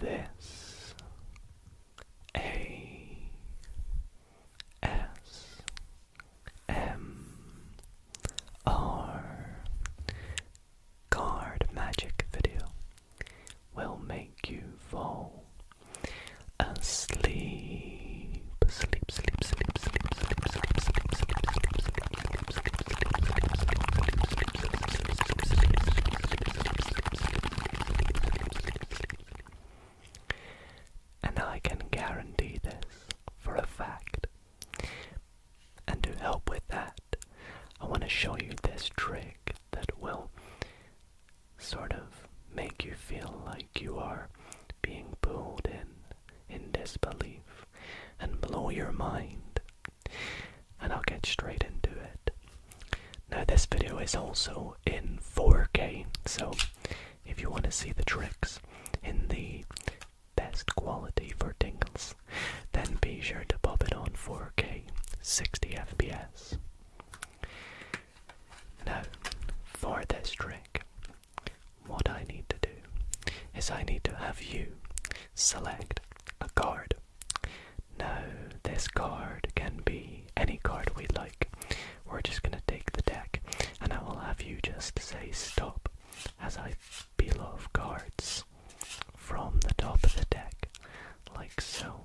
This A S M R card magic video will make you fall asleep, sleep, sleep, sleep, sleep. And I can guarantee this for a fact. And to help with that, I want to show you this trick that will sort of make you feel like you are being pulled in in disbelief and blow your mind. And I'll get straight into it. Now, this video is also in 4K, so if you want to see the tricks in the best quality for tingles, then be sure to pop it on 4K 60 FPS. Now, for this trick, what I need to do is I need to have you select a card. No, this card can be any card we like. We're just going to take the deck and I will have you just say stop as I peel off cards from the top of the deck, like so.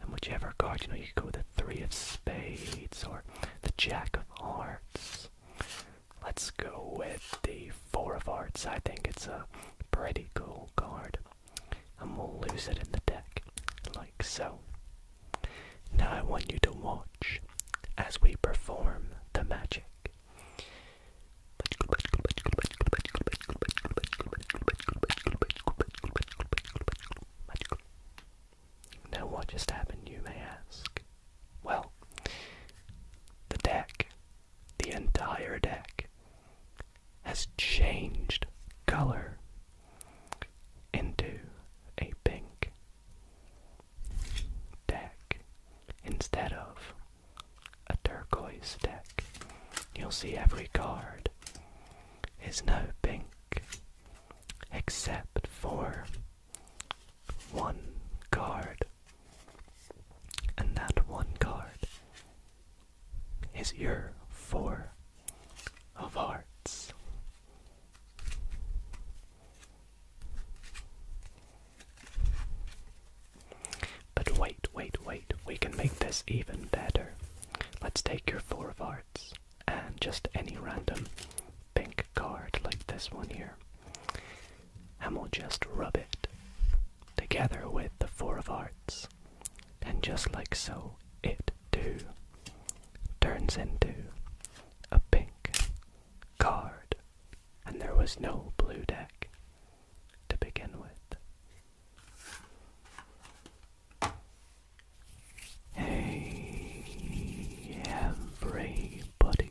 And whichever card, you know, you could go with the Three of Spades or the Jack of Hearts Let's go with the Four of Hearts. I think it's a pretty cool card. And we'll lose it in the deck, like so. Now I want you to watch as we perform the magic. Now what just happened, you may ask? Well, the deck, the entire deck, has changed color into a pink deck instead of a turquoise deck. You'll see every card is now pink except for one card. And that one card is your four of hearts. But wait, wait, wait, we can make this even better. Let's take your four of hearts and just any random pink card like this one here. And we'll just rub it together with the Four of Hearts. And just like so, it too turns into a pink card. And there was no blue deck to begin with. Hey, everybody.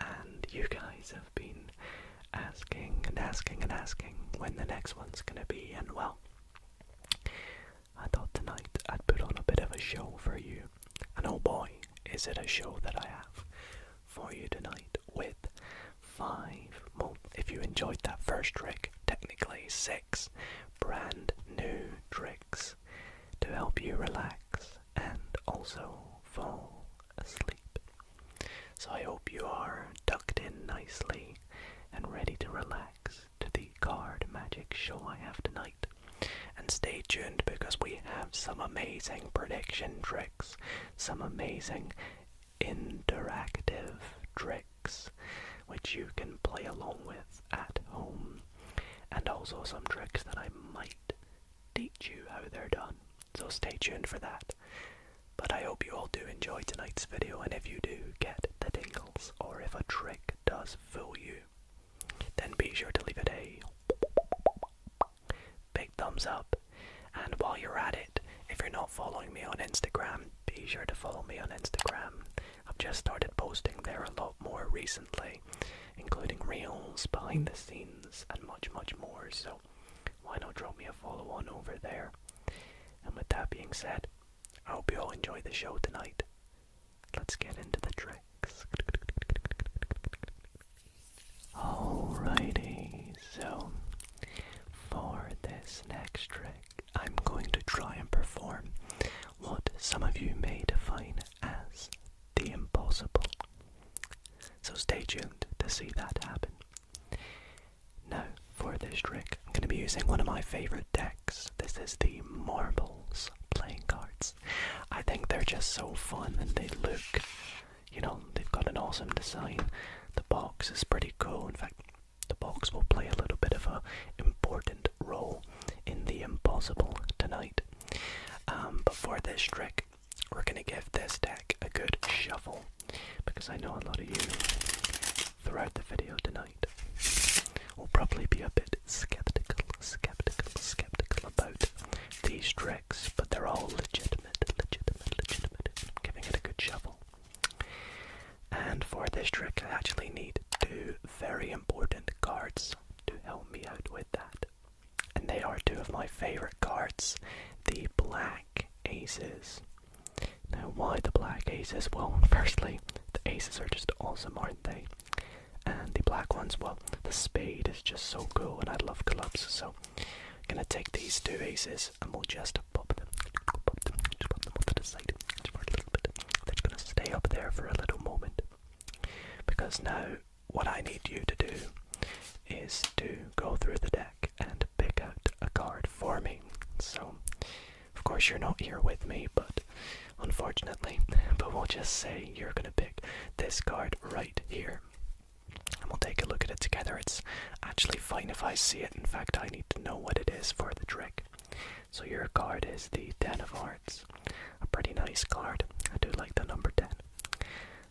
and you guys have been asking and asking and asking when the next one's gonna be, and well, I thought tonight I'd put on a bit of a show for you, and oh boy, is it a show that I have for you tonight with five. Well, if you enjoyed that first trick, technically six brand new tricks to help you relax and also fall asleep. So I hope you are tucked in nicely and ready to relax to the card magic show I have tonight. And stay tuned because we have some amazing prediction tricks, some amazing interactive tricks which you can play along with at home, and also some tricks that I might teach you how they're done. So stay tuned for that. But I hope you all do enjoy tonight's video and if you do get the tingles or if a trick does fool you, then be sure to leave it a big thumbs up. And while you're at it, if you're not following me on Instagram, be sure to follow me on Instagram. I've just started posting there a lot more recently, including reels, behind the scenes and much, much more. So why not drop me a follow on over there? And with that being said, I hope you all enjoy the show tonight. Let's get into the tricks. Alrighty, so for this next trick, I'm going to try and perform what some of you may define as the impossible. So stay tuned to see that happen. Now, for this trick, I'm going to be using one of my favourite decks. This is the Marbles playing cards. I think they're just so fun and they look, you know, they've got an awesome design. The box is pretty cool. In fact, the box will play a little bit of an important role in the impossible tonight. Um, but for this trick, we're gonna give this deck a good shuffle because I know a lot of you throughout the video tonight will probably be a bit skeptical, skeptical, skeptical about these tricks, but they're all legitimate, legitimate, legitimate. giving it a good shuffle. And for this trick, I actually need two very important cards to help me out with that. And they are two of my favorite cards the Black Aces. Now, why the Black Aces? Well, firstly, the Aces are just awesome, aren't they? And the black ones, well, the spade is just so cool, and I love clubs, so I'm gonna take these two aces and we'll just pop them, pop to the side just They're just gonna stay up there for a little moment because now what I need you to do is to go through the deck and pick out a card for me. So, of course, you're not here with me, but unfortunately, but we'll just say you're going to pick this card right here. And we'll take a look at it together. It's actually fine if I see it. In fact, I need to know what it is for the trick. So your card is the Ten of Hearts. A pretty nice card. I do like the number 10.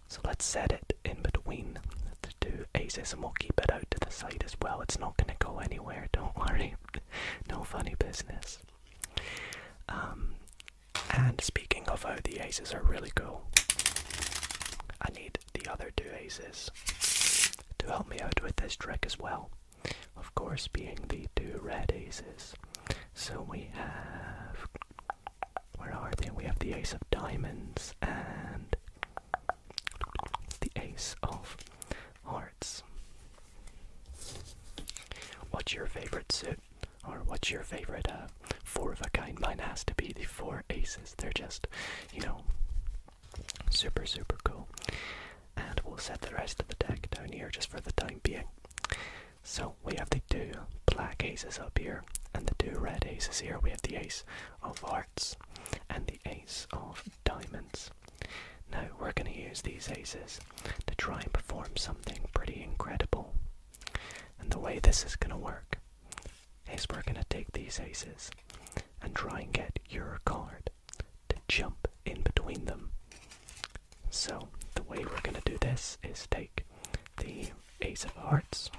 So let's set it in between the two aces and we'll keep it out to the side as well. It's not going to go anywhere, don't worry. no funny business. Um, and speaking of oh, the aces are really cool, I need the other two aces to help me out with this trick as well. Of course, being the two red aces. So we have where are they? We have the ace of diamonds and the ace of hearts. What's your favorite suit? Or what's your favorite uh, four of a kind? Mine has to be the four aces. They're just, you know, super, super cool. And we'll set the rest of the deck down here just for the time being. So we have the two black aces up here, and the two red aces here. We have the ace of hearts and the ace of diamonds. Now we're going to use these aces to try and perform something pretty incredible. And the way this is going to work is we're going to take these aces and try and get your card to jump in between them. So the way we're gonna do this is take the ace of hearts,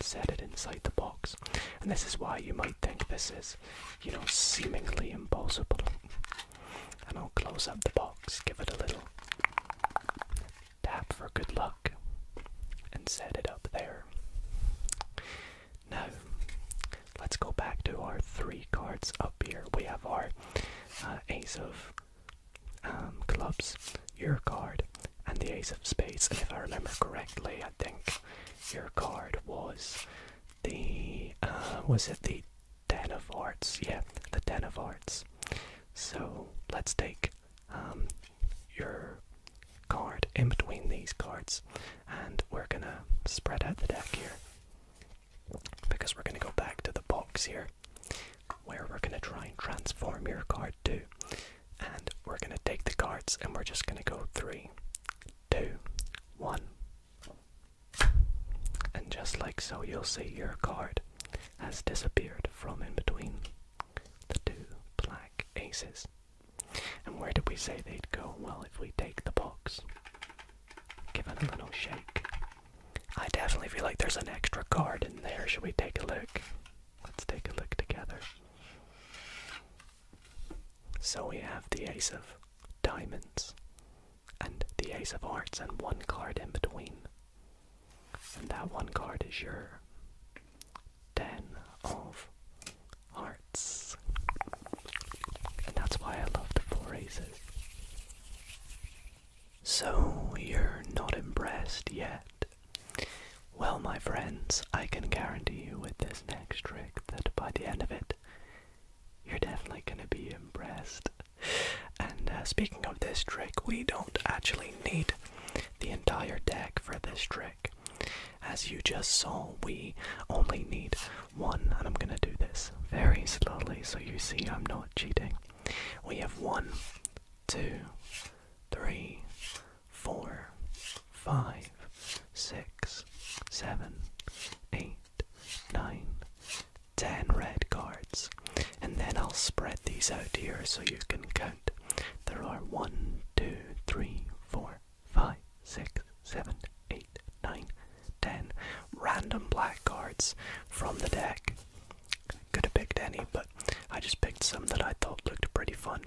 set it inside the box, and this is why you might think this is, you know, seemingly impossible. And I'll close up the box, give it a little tap for good luck, and set it up there. Now, let's go back to our three cards up here. We have our uh, ace of clubs, um, your card, and the ace of spades. if I remember correctly, I think your card was the uh, was it the ten of hearts? Yeah, the ten of hearts. So let's take um, your card in between these cards, and we're gonna spread out the deck here because we're gonna go back to the box here where we're going to try and transform your card to. And we're going to take the cards and we're just going to go three, two, one. And just like so, you'll see your card has disappeared from in between the two black aces. And where did we say they'd go? Well, if we take the box, give it a little shake, I definitely feel like there's an extra card in there. Should we take a look? Let's take a look together. So we have the Ace of Diamonds and the Ace of Hearts, and one card in between. And that one card is your Ten of Hearts. And that's why I love the four aces. So, you're not impressed yet? Well, my friends, I can guarantee you with this next trick that by the end of it, you're definitely gonna be impressed. And uh, speaking of this trick, we don't actually need the entire deck for this trick. As you just saw, we only need one, and I'm gonna do this very slowly so you see I'm not cheating. We have one, two, three, four, five, six, seven, eight, nine, ten red cards. And then I'll spread these out here so you can count. There are one, two, three, four, five, six, seven, eight, nine, ten random black cards from the deck. Could have picked any, but I just picked some that I thought looked pretty fun,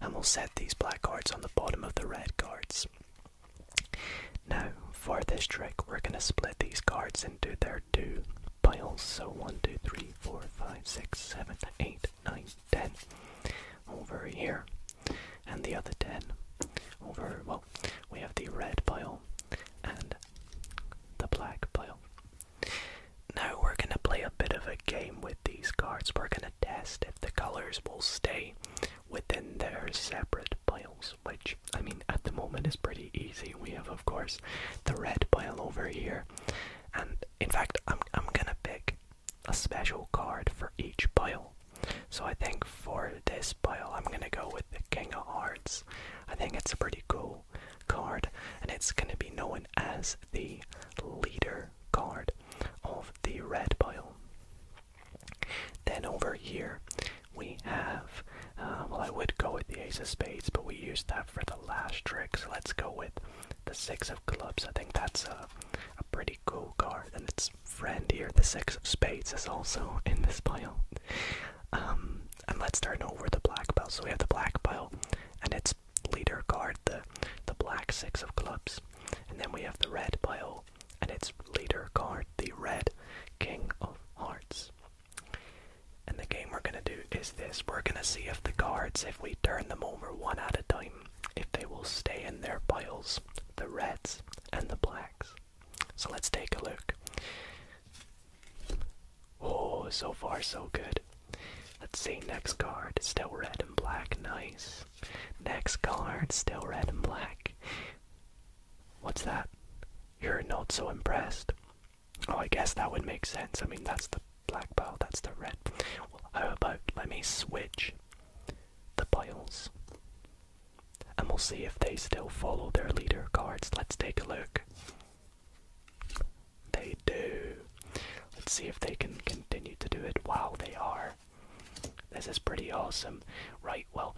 and we'll set these black cards on the bottom of the red cards. Now, for this trick, we're going to split these cards into their two piles. So one, two, three, four, five, six, seven, eight, nine, ten over here, and the other 10 over, well, we have the red pile and the black blue. Now we're going to play a bit of a game with these cards. We're going to test if the colors will stay within their separate piles, which, I mean, at the moment is pretty easy. We have, of course, the red pile over here. And in fact, I'm, I'm going to pick a special card for each pile. So I think for this pile, I'm going to go with the King of Hearts I think it's a pretty cool card, and it's going to be known as the leader card of the red pile. Then over here we have, uh, well, I would go with the ace of spades, but we used that for the last trick, so let's go with the six of clubs. I think that's a, a pretty cool card, and its friend here, the six of spades, is also in this pile. Um, and let's start over the black pile. So we have the black pile and its leader guard, the the black six of clubs. And then we have the red pile and its leader guard, the red king of hearts. And the game we're gonna do is this. We're gonna see if the cards, if we turn them over one at a time, if they will stay in their piles, the reds and the blacks. So let's take a look. Oh, so far so good. Let's see, next card, still red and black, nice. Next card, still red and black. What's that? You're not so impressed. Oh, I guess that would make sense. I mean, that's the black pile, that's the red. Well, how about let me switch the piles? and we'll see if they still follow their leader cards. Let's take a look. They do. Let's see if they can continue to do it. while they are. This is pretty awesome. Right, well,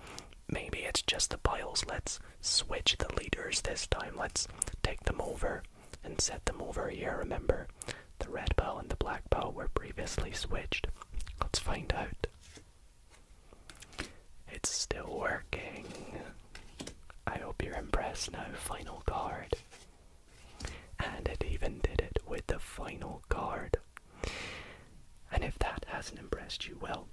maybe it's just the piles. Let's switch the leaders this time. Let's take them over and set them over here. Remember, the red pile and the black pile were previously switched. Let's find out. It's still working. I hope you're impressed now, final card. And it even did it with the final card. And if that hasn't impressed you, well,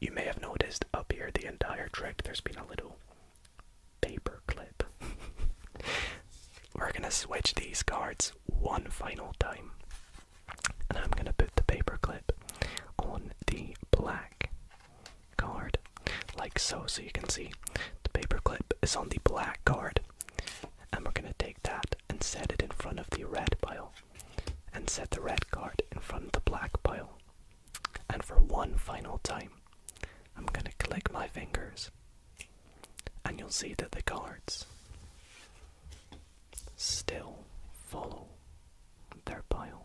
you may have noticed up here the entire trick there's been a little paper clip. We're gonna switch these cards one final time and I'm going to put the paperclip on the black card, like so, so you can see the paperclip is on the black card, and we're going to take that and set it in front of the red pile, and set the red card in front of the black pile. And for one final time, I'm going to click my fingers, and you'll see that the cards still follow their bio.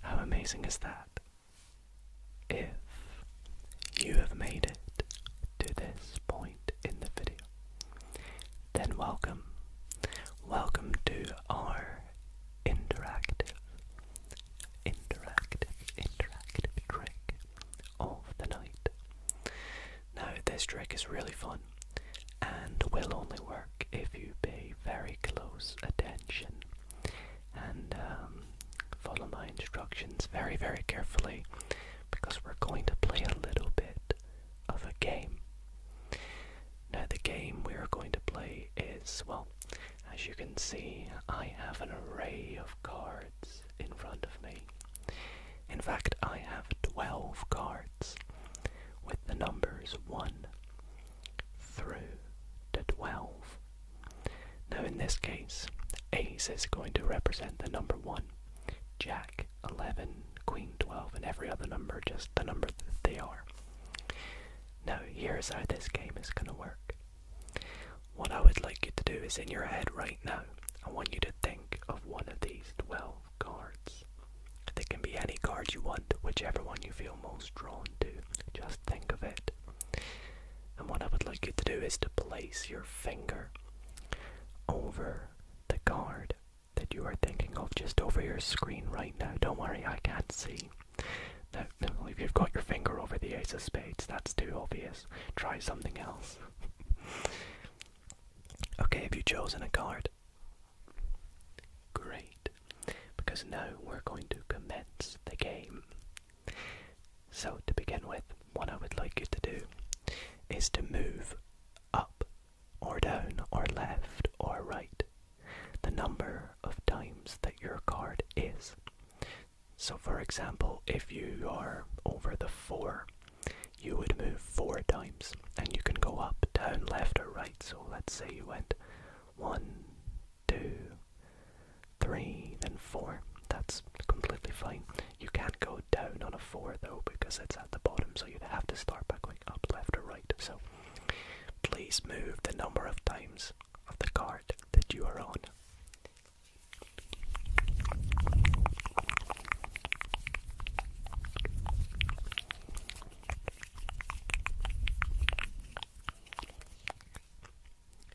How amazing is that? If you have made it to this point in the video, then welcome. Welcome to our interactive, interactive, interactive trick of the night. Now, this trick is really fun and will only work if you pay very close attention and um, follow my instructions very, very carefully because we're going to play a little bit of a game. Now, the game we are going to play is well, as you can see, I have an array of cards in front of me. In fact, I have 12 cards with the numbers 1 through to 12. Now, in this case, ace is going to represent the number 1, jack 11, queen 12, and every other number just the number that they are. Now, here's how this game is going to work. What I would like you to do is in your head right now, I want you to think of one of these 12 cards. They can be any card you want, whichever one you feel most drawn to. Just think of it. And what I would like you to do is to place your finger over the card that you are thinking of, just over your screen right now. Don't worry, I can't see. Now, if you've got your finger over the ace of spades, that's too obvious. Try something else. okay, have you chosen a card? Great, because now we're going to commence the game. So, to begin with, what I would like you to do is to move up or down or left or right the number of times that your card is. So, for example, if you are over the four you would move four times and you can go up, down, left, or right. So let's say you went one, two, three, then four. That's completely fine. You can't go down on a four though because it's at the bottom, so you'd have to start by going up, left, or right. So please move the number of times of the card that you are on.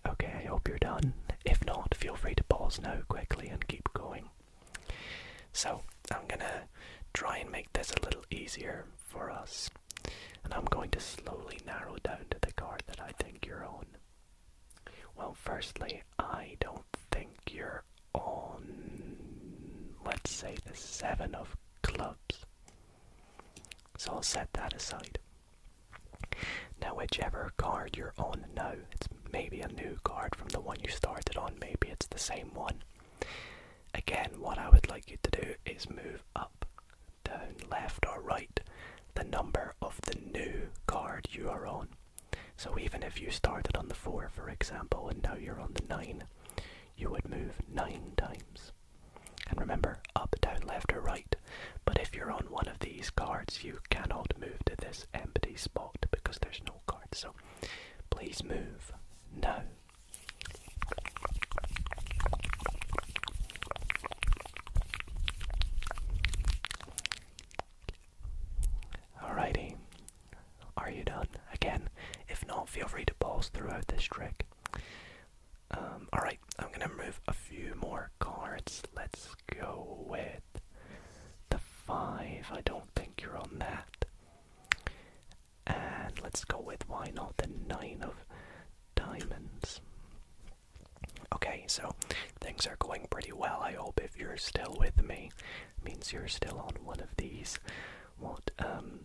Okay, I hope you're done. If not, feel free to pause now quickly and keep going. So, I'm gonna try and make this a little easier for us, and I'm going to slowly narrow down to the card that I think you're on. Well, firstly, I don't think you're on, let's say, the seven of clubs. So I'll set that aside. Now, whichever card you're on now, it's maybe a new card from the one you started on, maybe it's the same one. Again, what I would like you to do is move up, down, left, or right the number of the new card you are on. So even if you started on the 4, for example, and now you're on the 9, you would move 9 times. And remember, up, down, left, or right. But if you're on one of these cards, you cannot move to this empty spot because there's no card. So please move now. Alrighty, are you done? Again, if not, feel free to pause throughout this trick. Um, alright, I'm gonna move a few more cards. Let's go with the five. I don't think you're on that. And let's go with why not the nine of diamonds. Okay, so things are going pretty well. I hope if you're still with me means you're still on one of these, what, um,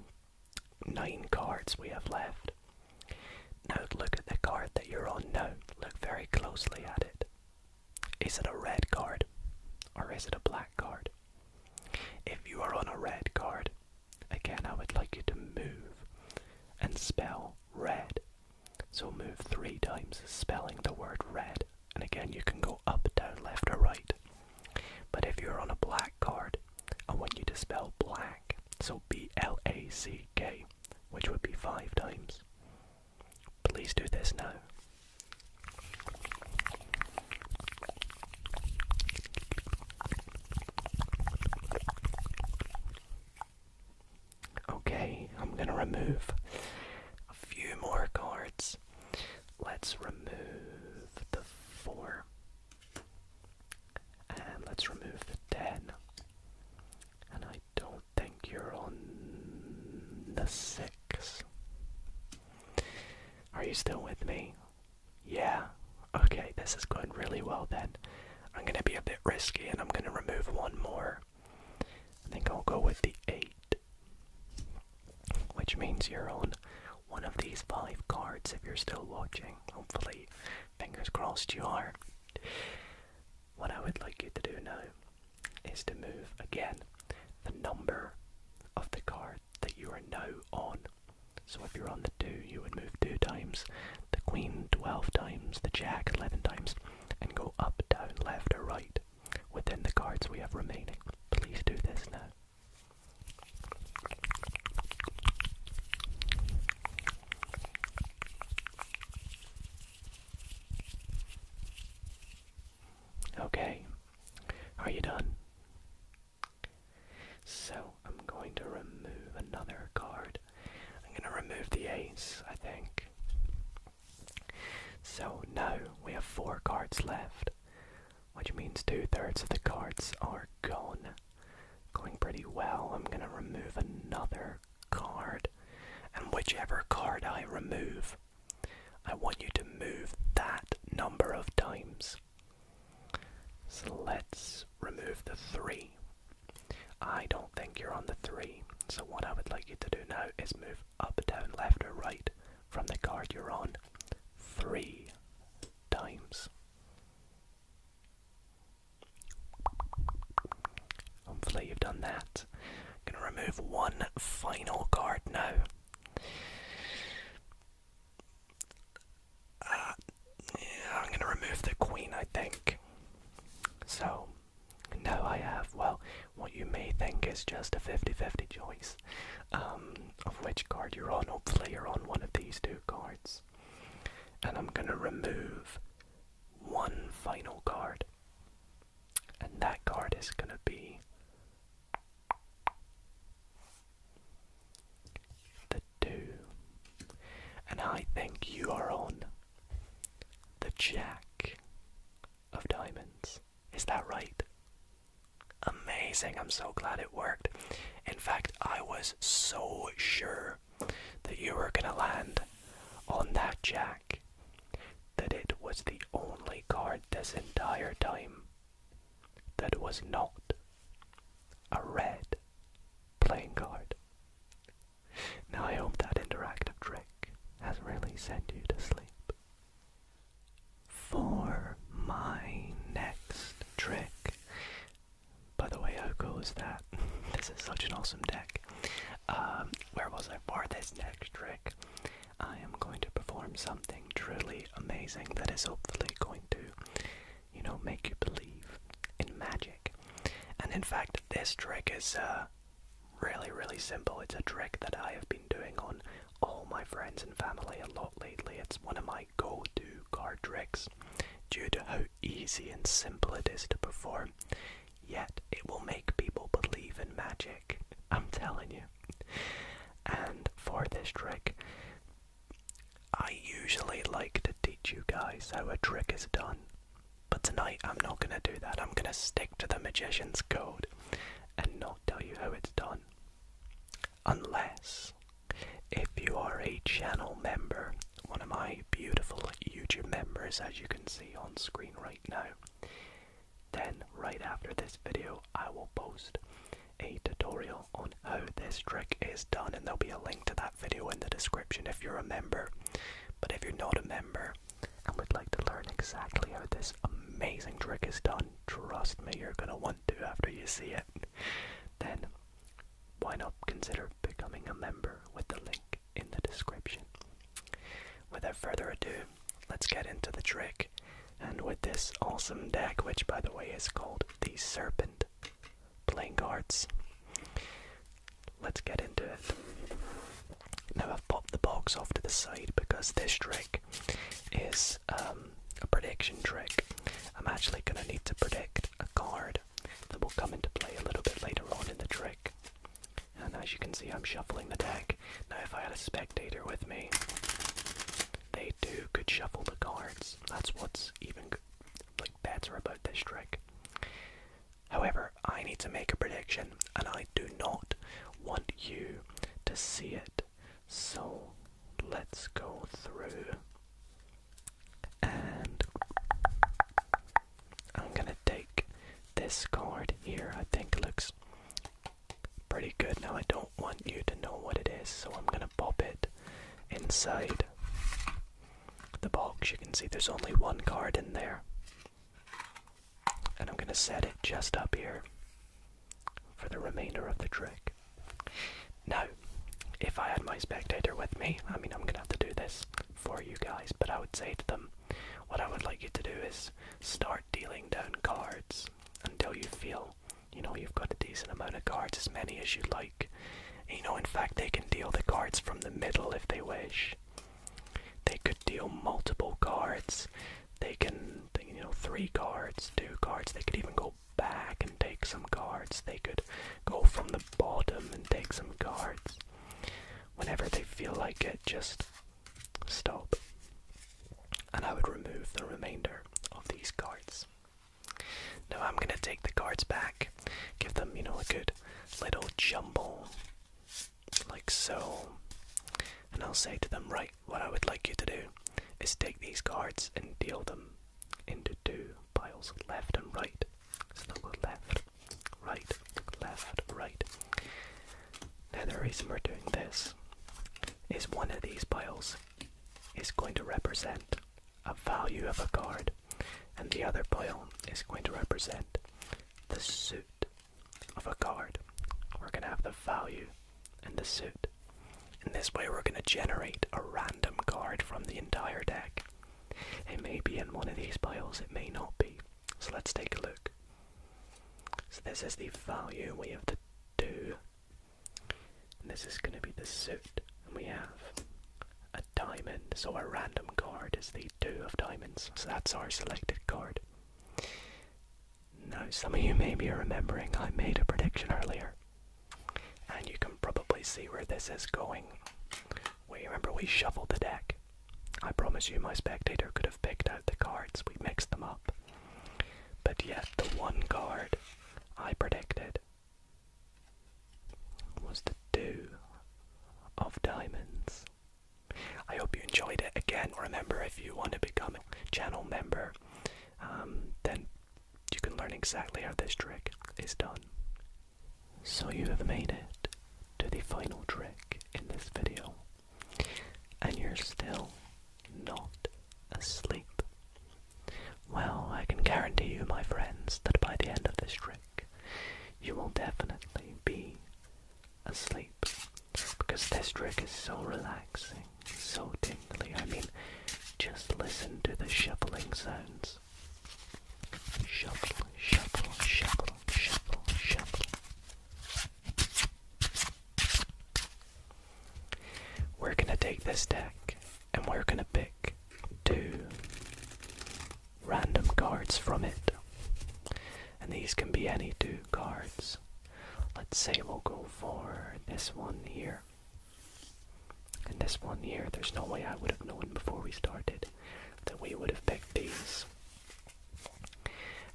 nine cards we have left. Now look at the card that you're on now. Look very closely at it. Is it a red card or is it a black card? If you are on a red card, again I would like you to move and spell red. So move three times spelling the word red and again you can go up, down, left, or right. But if you're on a black card, I want you to spell black, so B L A C K, which would be five times. Please do this now. Okay, I'm gonna remove a few more cards Let's remove the 4. And let's remove the 10. And I don't think you're on the 6. Are you still with me? Yeah. Okay, this is going really well then. I'm going to be a bit risky and I'm going to remove one more. I think I'll go with the 8. Which means you're on one of these five cards if you're still watching. Hopefully, fingers crossed you are. What I would like you to do now is to move again the number of the card that you are now on. So if you're on the 2, you would move 2 times, the queen 12 times, the jack 11 times, and go up, down, left, or right within the cards we have remaining. Please do this now. Okay, are you done? So I'm going to remove another card. I'm going to remove the ace, I think. So now we have four cards left, which means two thirds of the cards are gone. Going pretty well. I'm gonna remove another card, and whichever card I remove, I want you to move that number of times. So let's remove the three. I don't think you're on the three, so what I would like you to do now is move up, down, left, or right from the card you're on three times. Hopefully, you've done that. I'm going to remove one final card now. Uh, I'm going to remove the queen, I think. So now I have, well, what you may think is just a 50 50 choice um, of which card you're on. Hopefully, you're on one of these two cards. And I'm going to remove one final card. And that card is going to be the 2. And I think you are on the Jack of Diamonds. Is that right? Amazing. I'm so glad it worked. In fact, I was so sure that you were going to land on that jack that it was the only card this entire time that was not a red playing card. Now, I hope that interactive trick has really sent you to sleep. For my next trick, by the way, how cool is that? this is such an awesome deck. Um, where was I for this next trick? I am going to perform something truly amazing that is hopefully going to, you know, make you believe in magic. And in fact, this trick is uh, Really, really simple. It's a trick that I have been doing on all my friends and family a lot lately. It's one of my go to card tricks due to how easy and simple it is to perform, yet it will make people believe in magic. I'm telling you. And for this trick, I usually like to teach you guys how a trick is done. But tonight I'm not going to do that. I'm going to stick to the magician's code and not tell you how it's done. Unless, if you are a channel member, one of my beautiful YouTube members, as you can see on screen right now, then right after this video, I will post a tutorial on how this trick is done, and there'll be a link to that video in the description if you're a member. But if you're not a member, and we would like to learn exactly how this amazing trick is done, trust me, you're gonna want to after you see it, then why not consider becoming a member with the link in the description. Without further ado, let's get into the trick. And with this awesome deck, which by the way is called the Serpent Playing Cards, let's get into it. Now I've popped the box off to the side because this trick is um, a prediction trick. I'm actually going to need to predict a card that will come into play a little bit later on in the trick. And as you can see, I'm shuffling the deck. Now, if I had a spectator with me, they too could shuffle the cards. That's what's even like That's about this trick. However, I need to make a prediction, and I I do not want you to see it. So let's go through. And I'm gonna take this card here, I think looks pretty good. Now I don't want you to know what it is, so I'm gonna pop it inside the box. You can see there's only one card in there and I'm going to set it just up here for the remainder of the trick. Now, if I had my spectator with me, I mean, I'm going to have to do this for you guys, but I would say to them, what I would like you to do is start dealing down cards until you feel, you know, you've got a decent amount of cards, as many as you like. You know, in fact, they can deal the cards from the middle if they wish. They could deal multiple cards. They can, you know, three cards, two cards. They could even go back and take some cards. They could go from the bottom and take some cards. Whenever they feel like it, just stop. And I would remove the remainder of these cards. Now I'm gonna take the cards back, give them, you know, a good little jumble like so. And I'll say to them, right, what I would like you to do is take these cards and deal them into two piles, left and right. So they'll go left, right, left, right. Now the reason we're doing this is one of these piles is going to represent a value of a card, and the other pile is going to represent the suit of a card, we're going to have the value and the suit. In this way, we're going to generate a random card from the entire deck. It may be in one of these piles, it may not be. So let's take a look. So this is the value, we have the 2. And this is going to be the suit, we have a diamond. So our random card is the 2 of diamonds, so that's our selected card. Now, some of you may be remembering I made a prediction earlier, and you can probably see where this is going. We remember we shuffled the deck. I promise you, my spectator could have picked out the cards, we mixed them up. But yet, the one card I predicted was the two of diamonds. I hope you enjoyed it. Again, remember if you want to become a channel member, um, then you can learn exactly how this trick is done. So you have made it to the final trick in this video, and you're still not asleep. Well, I can guarantee you, my friends, that by the end of this trick, you will definitely be asleep because this trick is so relaxing, so tingly. I mean, just listen to the shuffling sounds. Shuffle, shuffle, shuffle, shuffle, shuffle. We're gonna take this deck and we're gonna pick two random cards from it. And these can be any two cards. Let's say we'll go for this one here. And this one here, there's no way I would have known before we started that we would have picked these.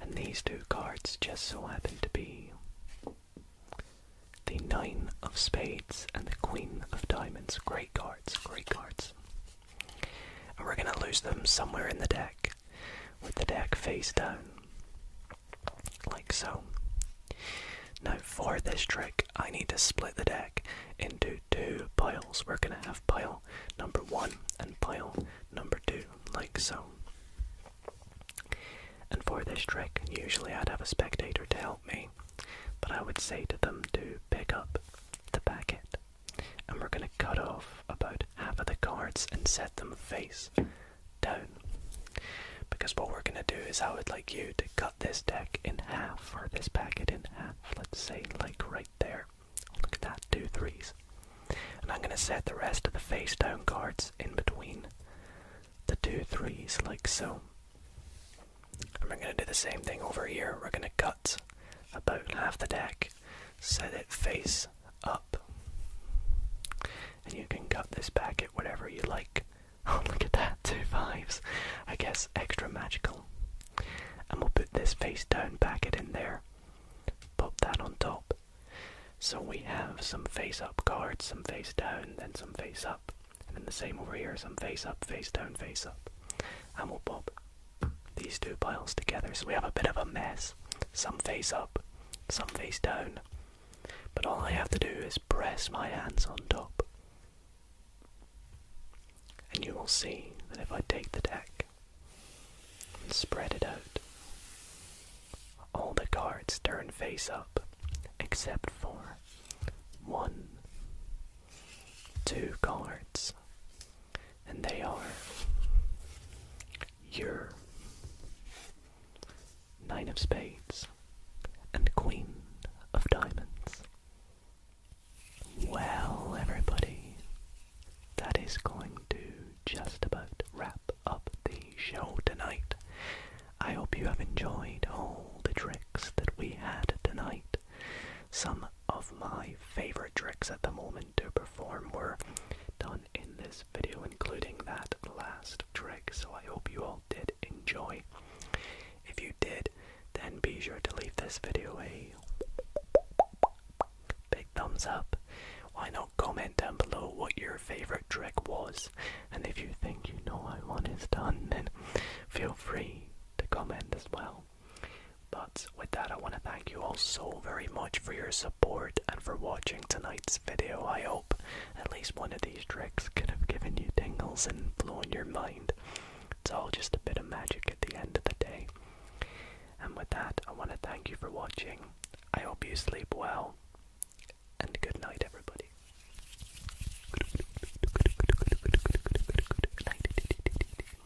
And these two cards just so happen to be the Nine of Spades and the Queen of Diamonds. Great cards, great cards. And we're going to lose them somewhere in the deck with the deck face down. Like so. Now, for this trick, I need to split the deck into two piles. We're going to have pile number one and pile number two, like so. And for this trick, usually I'd have a spectator to help me, but I would say to them to pick up the packet and we're going to cut off about half of the cards and set them face down. Because what we're going to do is I would like you to cut this deck in half, or this packet in half, let's say like right there. Look at that, two threes. And I'm going to set the rest of the face down cards in between the two threes, like so. And we're going to do the same thing over here. We're going to cut about half the deck set it face up. And you can cut this packet whatever you like. Oh, look at that, two fives. I guess extra magical. And we'll put this face down packet in there. Pop that on top. So we have some face up cards, some face down, then some face up. And then the same over here, some face up, face down, face up. And we'll pop these two piles together, so we have a bit of a mess. Some face up, some face down. But all I have to do is press my hands on top. And you will see that if I take the deck and spread it out, all the cards turn face up except for one, two cards and they are your Nine of Spades and Queen of Diamonds. Well, everybody, that is going to just about wrap up the show tonight. I hope you have enjoyed all the tricks that we had tonight. Some of my favorite tricks at the moment to perform were done in this video, including that last trick. So I hope you all did enjoy. If you did, then be sure to leave this video a big thumbs up. Why not comment down below what your favorite trick was? And if you think you know how one is done, then feel free to comment as well. But with that, I want to thank you all so very much for your support and for watching tonight's video. I hope at least one of these tricks could have given you tingles and blown your mind. It's all just a bit of magic at the end of the day. And with that, I want to thank you for watching. I hope you sleep well, and good night, everybody.